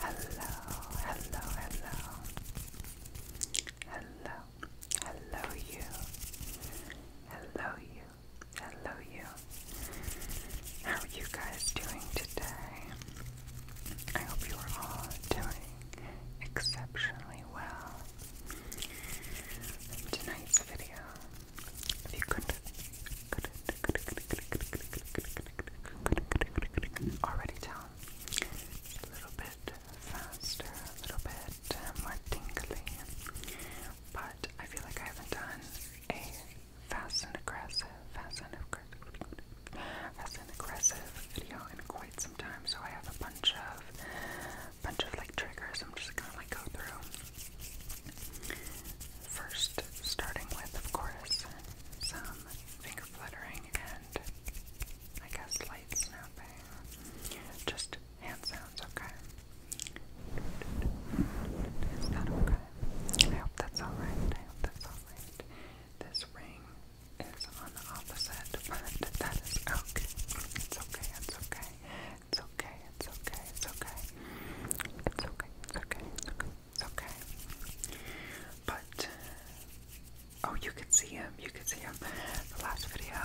Hello, hello, hello. Hello, hello you. Hello you. Hello you. How are you guys doing today? I hope you are all doing exceptionally well. tonight's video, already tell, a little bit faster, a little bit more tingly, but I feel like I haven't done a fast and aggressive, fast and aggressive, fast and aggressive video in quite some time, so I have a bunch of, bunch of like triggers. I'm just gonna like go through. First, starting with, of course, some finger fluttering and I guess light snapping. Just hand sounds, okay? Is that okay? I hope that's alright. I hope that's alright. This ring is on the opposite, but that is okay. It's okay, it's okay. It's okay. It's okay. It's okay. It's okay. It's okay. It's okay. It's okay. But oh, you could see him. You could see him. The last video.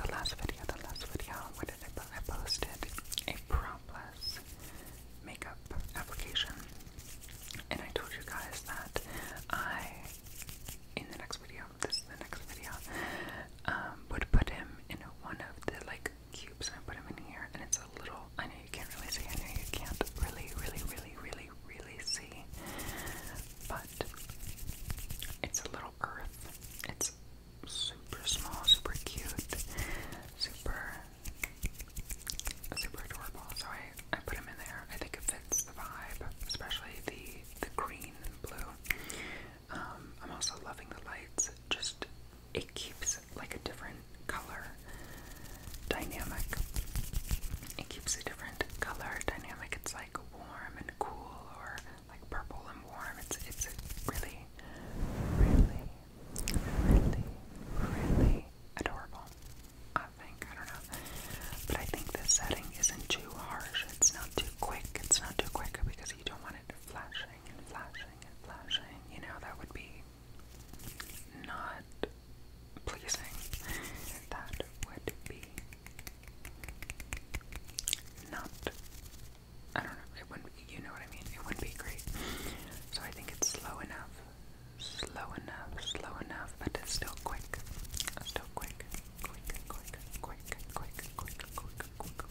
The last video. The last video. What did I post? I posted a propless makeup application, and I told you guys that I in the next video. This is the next video. Um, would put him in one of the like cubes and I put them in here and it's a little I know you can't really see, I know you can't really, really, really, really, really see. But it's a little earth. It's super small, super cute, super super adorable. So I, I put them in there. I think it fits the vibe, especially the the green and blue. Um, I'm also loving the lights. Just it keeps like a different color dynamic. It keeps a different color dynamic. It's like warm and cool or like purple and warm. It's it's really, really, really, really adorable. I think. I don't know. But I think the setting isn't too harsh. It's not too quick. It's not too quick because you don't want it flashing and flashing and flashing. You know, that would be not pleasing. That would be not. I don't know. It wouldn't. Be, you know what I mean. It wouldn't be great. So I think it's slow enough, slow enough, slow enough, but it's still quick. Still quick, quick, quick, quick, quick, quick, quick, quick,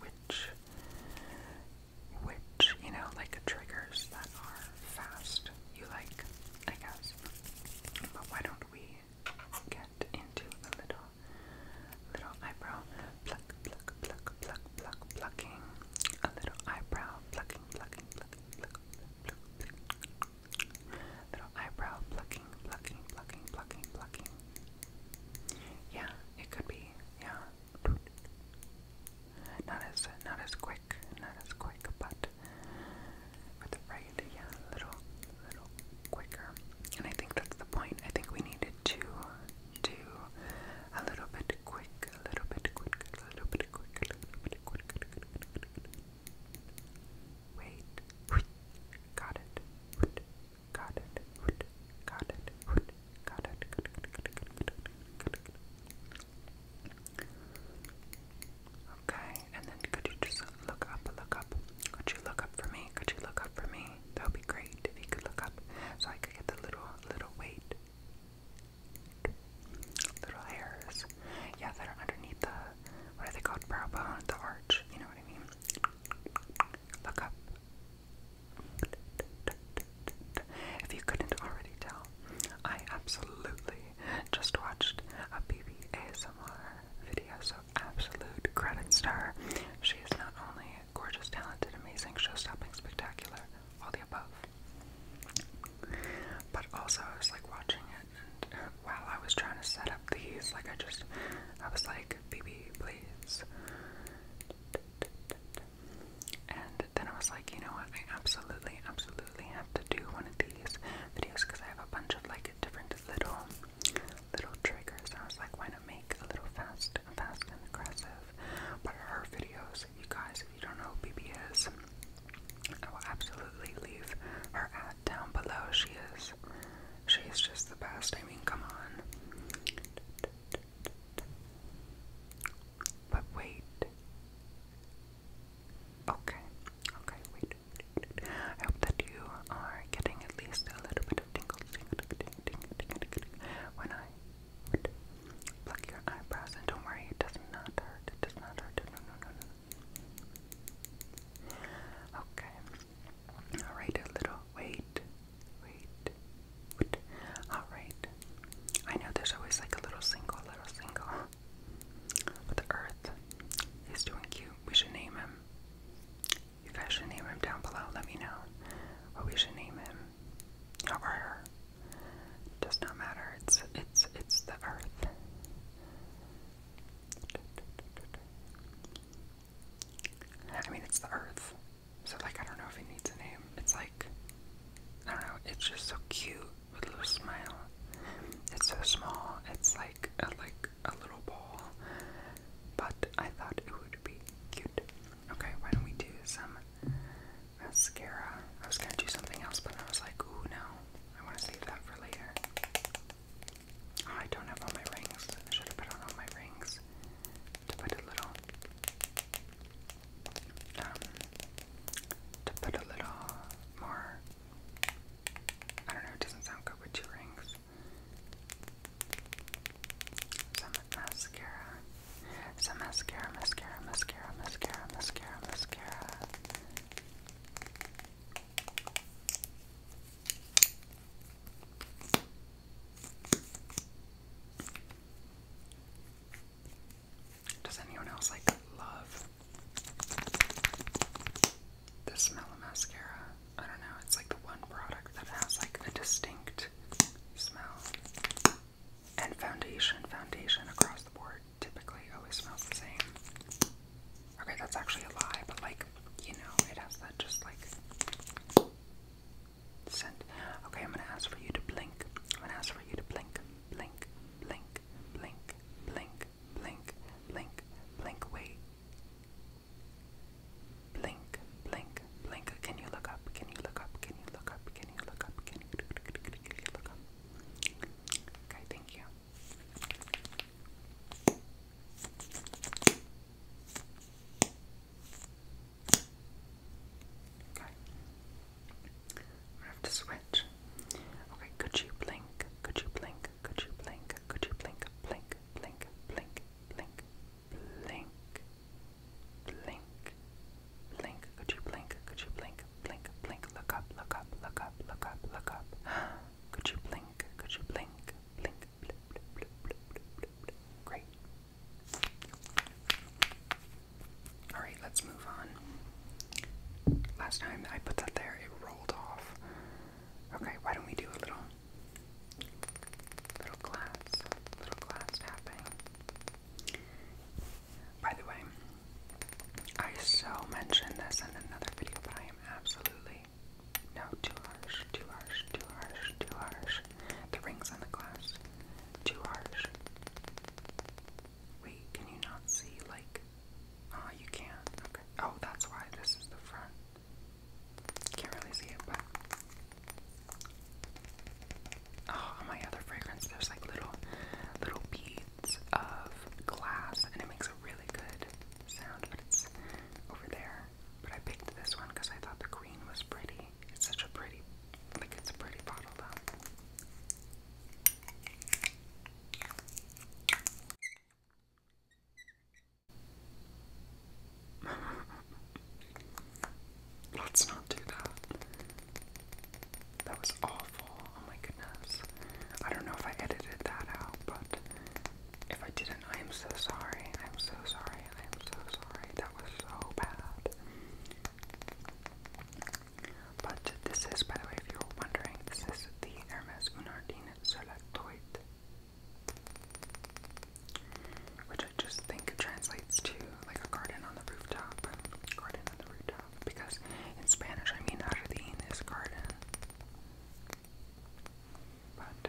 which which, you know, like triggers that are fast you like, I guess. But why don't we get into a little little eyebrow pluck pluck pluck pluck pluck plucking a little eyebrow plucking plucking plucking pluck pluck pluck little eyebrow plucking plucking, plucking, plucking, plucking, Yeah, it could be. Yeah, not as not as quick, not as quick, but with the right, yeah, little, little quicker. And I think that's the point. I think we needed to do a little bit quick, a little bit quick, a little bit quick, a little bit quick. Wait, got it. Got it. Got it. Got it. Okay, and then could you just look up, look up? Could you look up for me? Could you look up for me? That would be great if you could look up so I could get the little, little weight. Little hairs. Yeah, that are underneath the, what are they called? Brow bone, the arch. You know what I mean? Look up. If you couldn't already tell, I absolutely just watched a BB ASMR video, so absolute credit star. her. She is not only gorgeous, talented, amazing, show-stopping, spectacular, all the above, but also I was like watching it, and uh, while I was trying to set up these, like I just, I was like, like please. And then I was like, you know what? I absolutely, absolutely have to do one of these videos because I have a bunch of like different little, little triggers. I was like, why not make a little fast, fast and aggressive? But her videos, you guys, if you don't know who is, I will absolutely leave her at down below. She is She's just the best. I mean, come on. But wait. Okay. Okay, wait. I hope that you are getting at least a little bit of tingle, when I pluck your eyebrows. And don't worry, it does not hurt. It does not hurt. No, no, no, no. Okay. Alright, a little. Wait. Wait. Wait. Alright. I know there's always like a little single, little single. But the earth is doing cute. We should name him. You guys should name him down below. Let me know what we should name him. Or Does not matter. It's it's it's the earth. I mean, it's the Earth, so like I don't know if it needs a name. It's like I don't know. It's just so cute with a little smile. It's so small. It's like a, like a little ball, but I thought it would be cute. Okay, why don't we do some mascara? I was gonna do something else, but I was like, ooh no, I want to save that for later. Oh, I don't have all my rings. I should have put on all my rings to put a little um to put a little more I don't know, doesn't sound good with two rings. Some mascara. Some mascara, mascara, mascara, mascara, mascara, mascara. Does anyone else like love the smell of mascara? I don't know, it's like the one product that has like a distinct smell. And foundation, foundation across the board typically always smells the same. Okay, that's actually a lie, but like, you know, it has that just like Send. Okay, I'm gonna ask for you to blink. I'm gonna ask for you to blink, blink, blink, blink, blink, blink, blink, blink. Wait. Blink, blink, blink. Can you look up? Can you look up? Can you look up? Can you look up? Can you look up? Okay, thank you. Okay. I'm gonna have to switch. Okay, could you blink? Could you blink? Could you blink? Could you blink? Blink, blink, blink, blink, blink, blink, blink. Could you blink? Could you blink? Blink, blink. Look up, look up, look up, look up, look up. Could you blink? Could you blink? Blink, Great. Alright, let's move on. Last time I put that there, it rolled off. Okay, why don't we do a little little glass, little glass tapping. By the way, I so mentioned this in another video, but I am absolutely no, too harsh, too harsh, too harsh, too harsh. The rings on the glass. Too harsh. Wait, can you not see? Like, oh, you can't. Okay. Oh, that's why this is the front. Can't really see it, but. Oh, my other fragrance, there's like little, little beads of glass, and it makes a really good sound, but it's over there. But I picked this one because I thought the green was pretty. It's such a pretty, like it's a pretty bottle though. Let's not do that. That was awful. Oh my goodness. I don't know if I edited that out, but if I didn't, I am so sorry. I am so sorry. I am so sorry. That was so bad. But this is, by the way, if you were wondering, this is the Hermes Unardine Solatoit, which I just think translates to like a garden on the rooftop. Garden on the rooftop. Because in Spanish, I mean, jardín is garden. But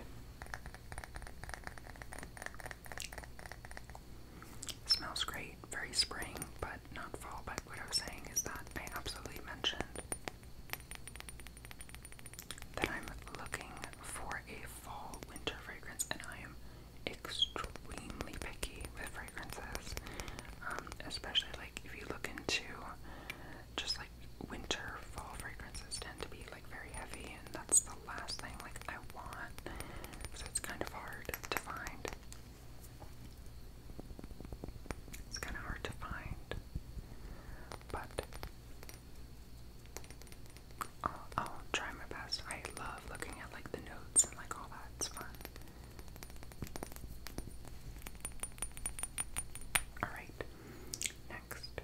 smells great, very spring, but not fall. But what I was saying is that I absolutely mentioned that I'm looking for a fall winter fragrance, and I am extremely picky with fragrances, um, especially like if you look into just like winter fall fragrances tend to be like very heavy that's the last thing like I want. So it's kind of hard to find. It's kind of hard to find. But I'll try my best. I love looking at like the notes and like all that. It's fun. Alright, next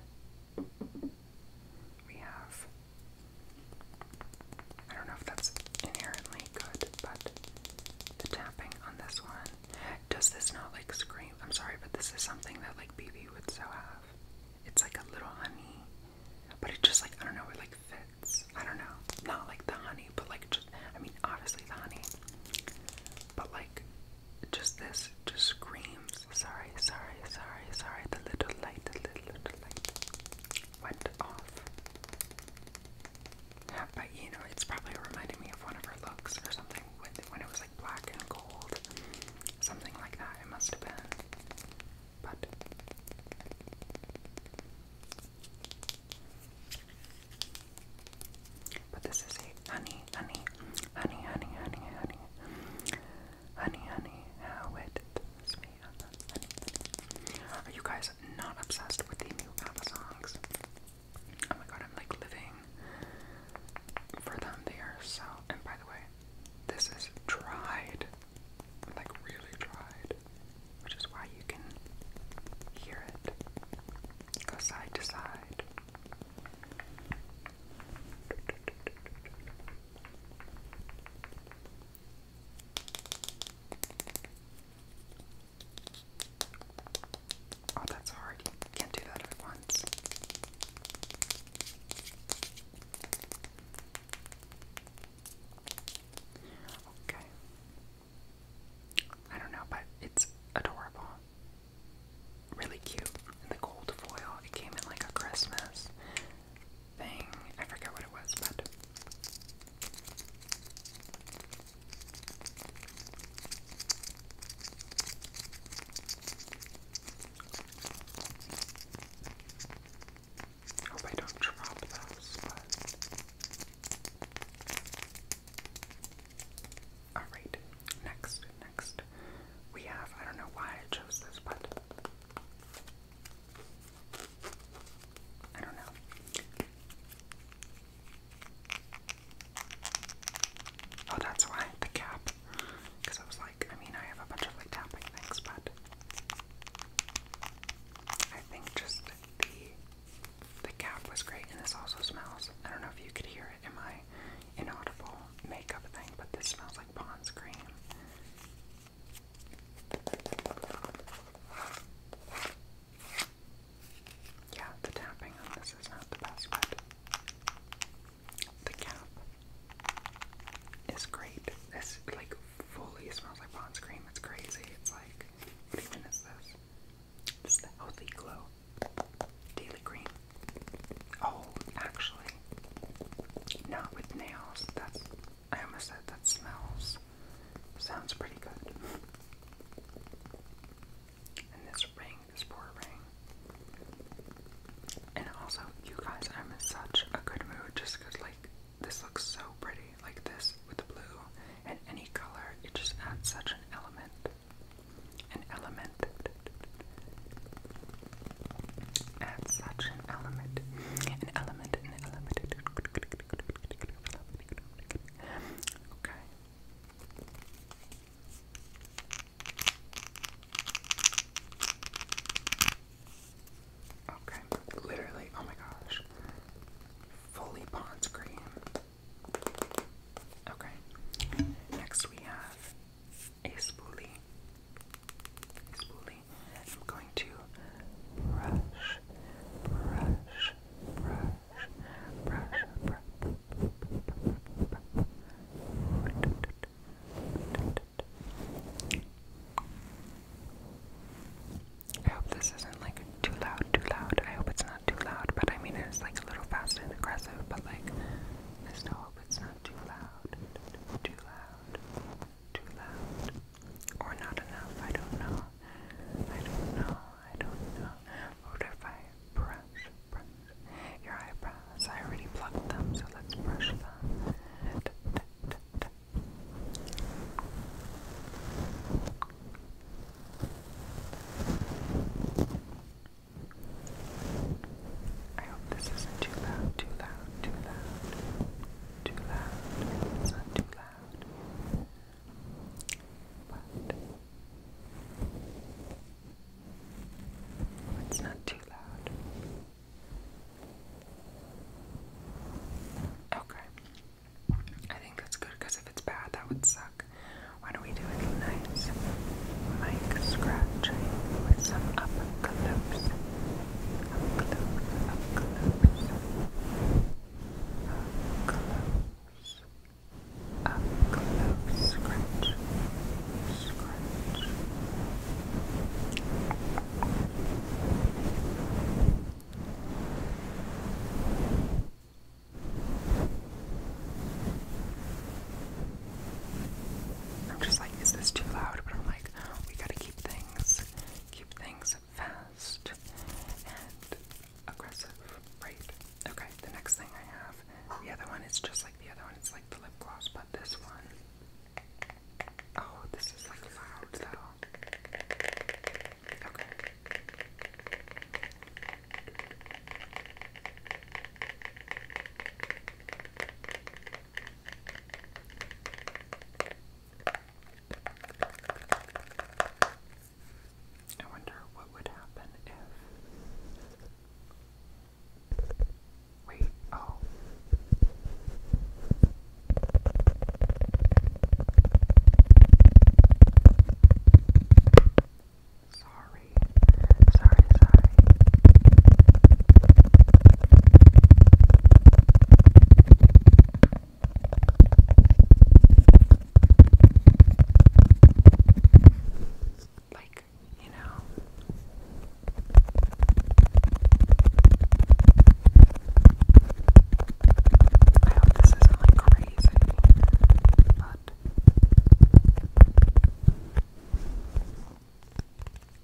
we have. I don't know if that's inherently good, but the tapping on this one. Does this not like scream? I'm sorry, but this is something that like BB would so have. It's like a little honey, but it just like, I don't know, it like fits. I don't know. Not like the honey, but like, just, I mean, obviously the honey, but like just this just just screams. Sorry, sorry, sorry, sorry. The little light, the little, little light went off. but you know, it's probably reminding me of one of her looks or something when it was like black and gold, something like that. It must have been. But but this is a honey, honey, honey, honey, honey, honey. Honey, honey, how it thrills me. Honey, Are you guys not obsessed with the new ABBA songs? Oh my god, I'm like living for them. They are so. And by the way, this is dried, like really dried, which is why you can hear it go side to side. Oh, that's hard. can't do that at once. Okay. I don't know, but it's adorable really cute. and The gold foil. It came in like a Christmas thing. I forget what it was, but hope I don't drop those, but Alright, next next we have, I don't know why I chose this, but I don't know. Oh, that's why the cap. Because I was like, I mean, I have a bunch of like tapping things, but I think just the the cap was great, and this also smells. I don't know if you could hear it in my inaudible makeup thing, but this smells like Pond's cream. Yeah, the tapping on this is not the best, but the cap is great. This like fully smells like Pond's cream. It's crazy. It's like what even is this? Healthy Glow Daily Cream. Oh, actually, not with nails. That's I almost said that smells. Sounds pretty good. And this ring, this poor ring. And also, you guys, I'm in such a good mood just because, like, this looks so pretty. Like this with the blue and any color, it just adds such an element. An element Add such an element, an element, an element. Okay. Okay, literally, oh my gosh. Fully Pond's cream. Okay. Next we have a spoolie. spoolie. I'm going to brush, brush, brush, brush, brush. I hope this isn't like too loud, too loud. I hope it's not too loud, but I mean it's like a little fast and aggressive, but like I still hope it's not loud, too loud, too loud, too loud, or not enough. I don't know. I don't know. I don't know. What if I press, your eyebrows? I already plucked them, so let's brush them. I hope this isn't too loud, too loud, too loud, too loud. It's not too loud. But it's not too loud. Okay. I think that's good because if it's bad, that would suck. Why don't we do a nice mic scratching with some up close I'm just like, is this too loud? But I'm like, we gotta keep things, keep things fast and aggressive, right? Okay, the next thing I have, the other one is just like the other one, it's like the lip gloss, but this one, oh, this is like loud though. I wonder what would happen if. Wait, oh. Sorry, sorry, sorry. Like, you know. I hope this isn't like crazy, but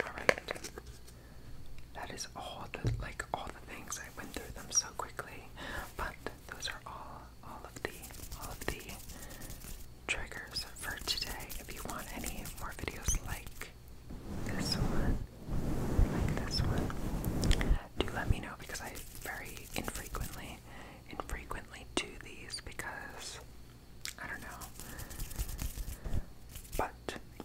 Alright. That is all the like all the things I went through them so quickly. But those are all all of the all of the triggers for today. If you want any more videos like this one, like this one, do let me know because I very infrequently infrequently do these because I don't know. But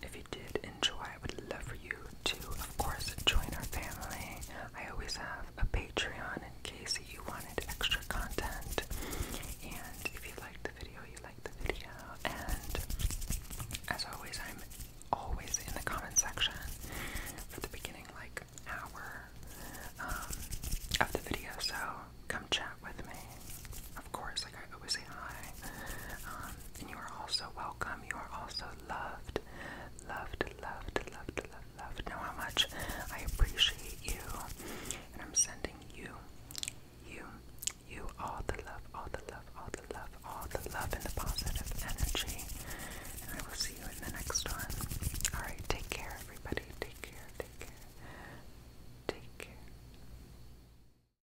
if you did enjoy, I would love for you to, of course, join our family. I always have a Patreon in case you wanted extra content. And if you liked the video, you liked the video. And as always, I'm always in the comment section for the beginning, like, hour um, of the video, so come chat with me. Of course, like I always say hi. Um, and you are also welcome. You are also Loved, loved, loved, loved, loved. Know how much I appreciate you. And I'm sending you, you, you all the love, all the love, all the love, all the love and the positive energy. And I will see you in the next one. Alright, take care, everybody. Take care, take care, take care.